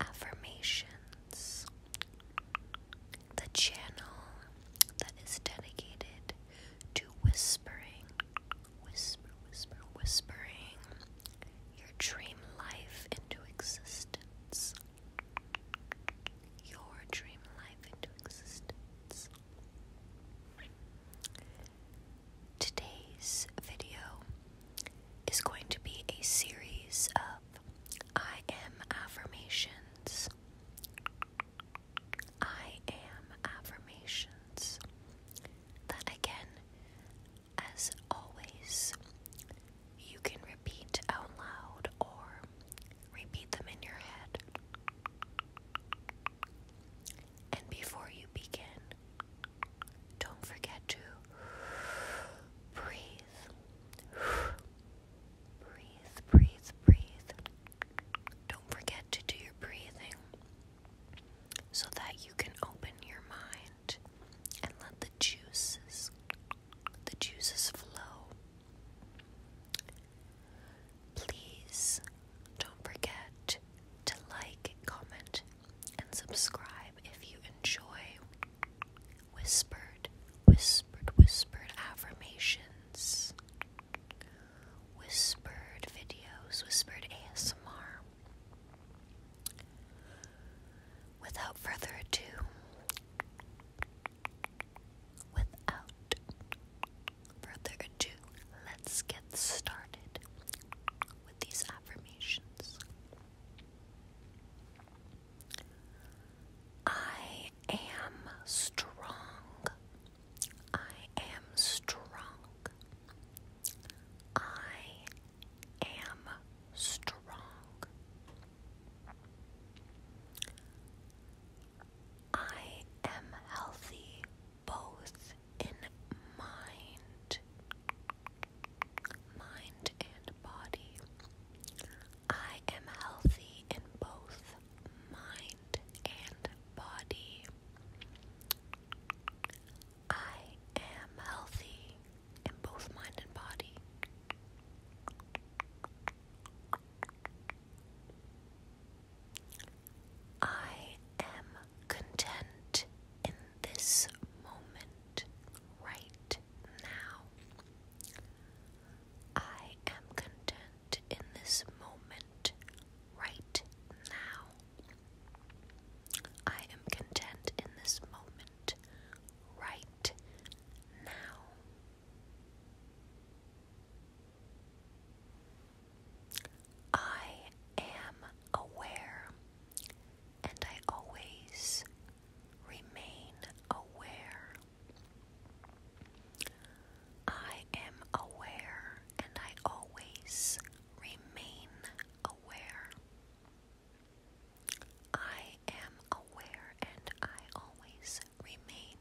Affirmations. The channel that is dedicated to whispering, whisper, whisper, whispering your dream life into existence. Your dream life into existence. Today's video is going to be a series of I am affirmations. I am affirmations that again, as always, you can repeat out loud or repeat them in your head. And before you begin, don't forget to breathe. Breathe, breathe, breathe. Don't forget to do your breathing so that you can open your mind and let the juices the juices flow. Please don't forget to like, comment, and subscribe if you enjoy whispered, whispered, whispered affirmations, whispered videos, whispered ASMR. Without further ado, without further ado, let's get started with these affirmations. I am strong. I am strong. I am strong. I am healthy both in mind, mind and body. I am healthy in both mind and body. I am healthy in both mind and body. I am content in this moment right now. I am content in this moment right now. I am content in this moment right now. I am aware and I always remain aware. I am aware and I always remain aware. I am aware and I always remain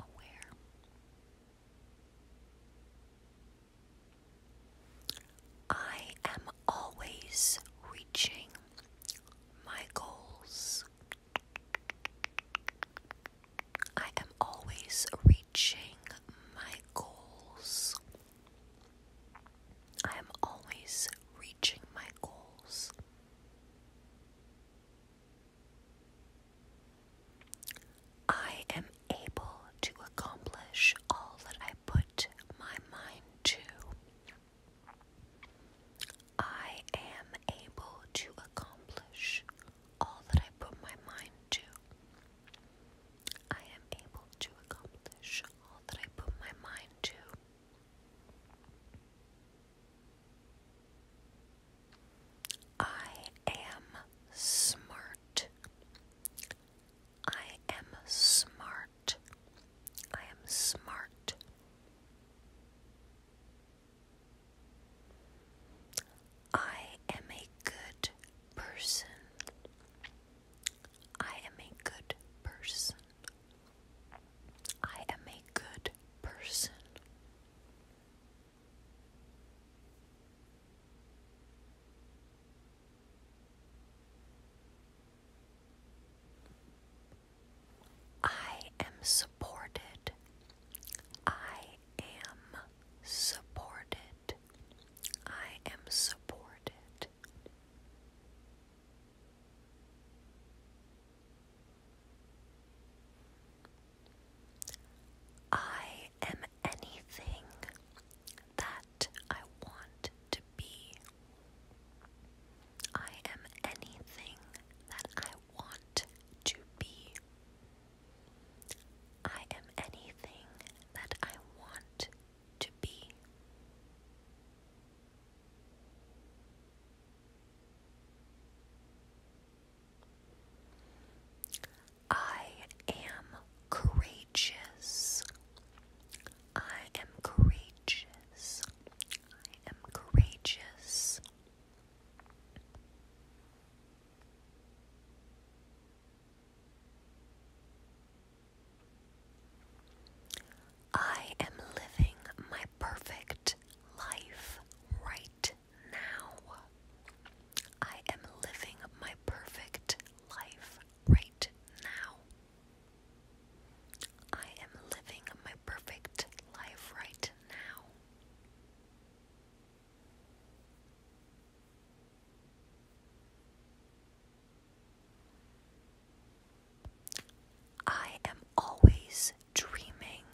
aware. I am always reaching my goals. I am always reaching my goals. I am always reaching my goals. I am able to accomplish all that I put my mind to. I am able to accomplish all that I put my mind to. I am able to accomplish all that I put my mind to. I am smart. I am smart. I am smart. I am a good person. I am a good person. I am a good person. I am supported. I am supported. I am supported. I am anything that I want to be. I am anything that I want to be. I am anything that I want to be. I am courageous. I am courageous. I am courageous. I am living my perfect life right now. I am living my perfect life right now. I am living my perfect life right now. I am always dreaming,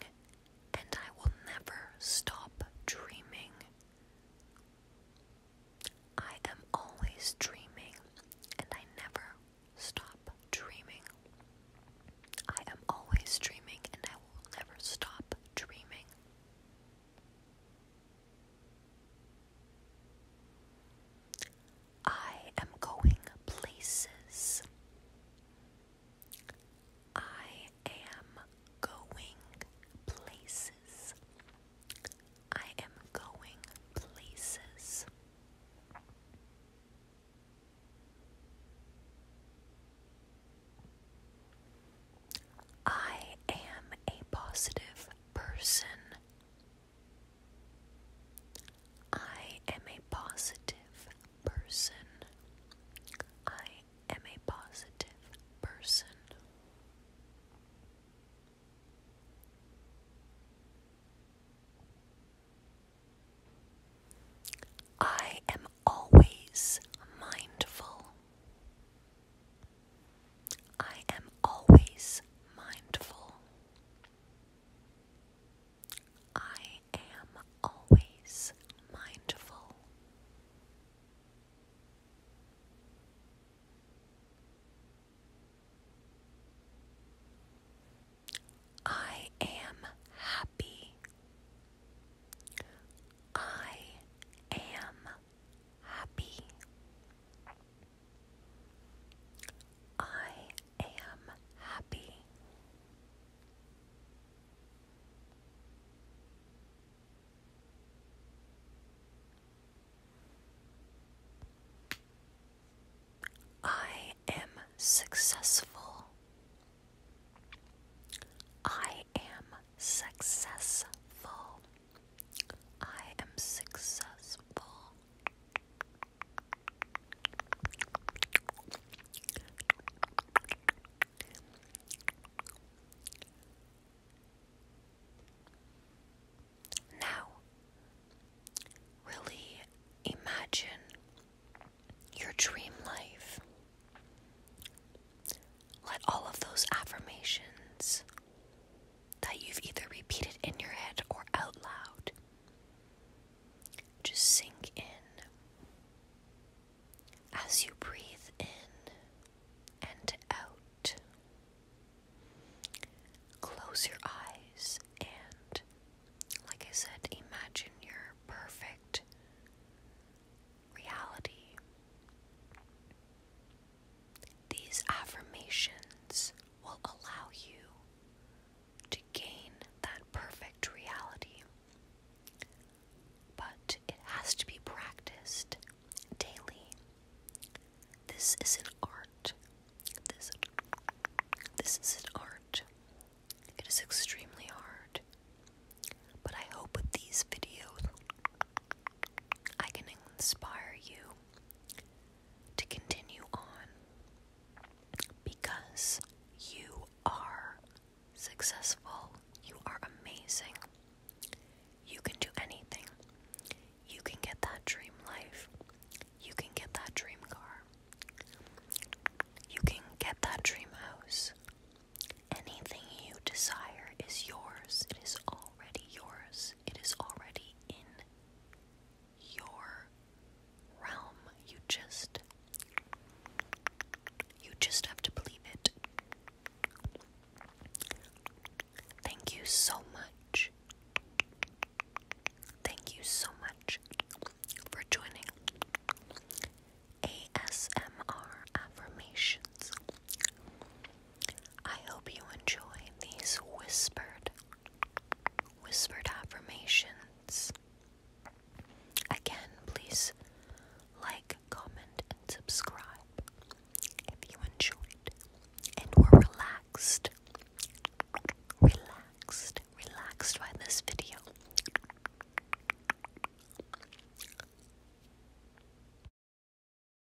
and I will never stop dreaming. I am always dreaming, and I never stop dreaming. I am always dreaming, and I will never stop dreaming. I am going places. I am going places. I am going places. I am a positive person. I am a positive person. I am a positive person. I am always mindful. I am always mindful. I am always mindful. I am happy. I am happy. I am happy. I am successful. I am successful. I am successful. Now, really imagine your dream life. Let all of those affirmations that you've either repeated in your head or out loud just sink in as you breathe in and out. Close your eyes and, like I said, imagine your perfect reality. These affirmations will allow you to gain that perfect reality. But it has to be practiced daily. This is an art. This, this is an art. It is extremely hard. But I hope with these videos I can inspire you to continue on because you are successful, you are amazing, you can do anything, you can get that dream life, you can get that dream car, you can get that dream house. Anything you desire is yours, it is already yours, it is already in your realm. You just you just have to believe it. Thank you so much. Thank you so much for joining ASMR affirmations. I hope you enjoy these whispered Whispered affirmations. Again, please like, comment, and subscribe if you enjoyed and were relaxed, relaxed, relaxed by this video.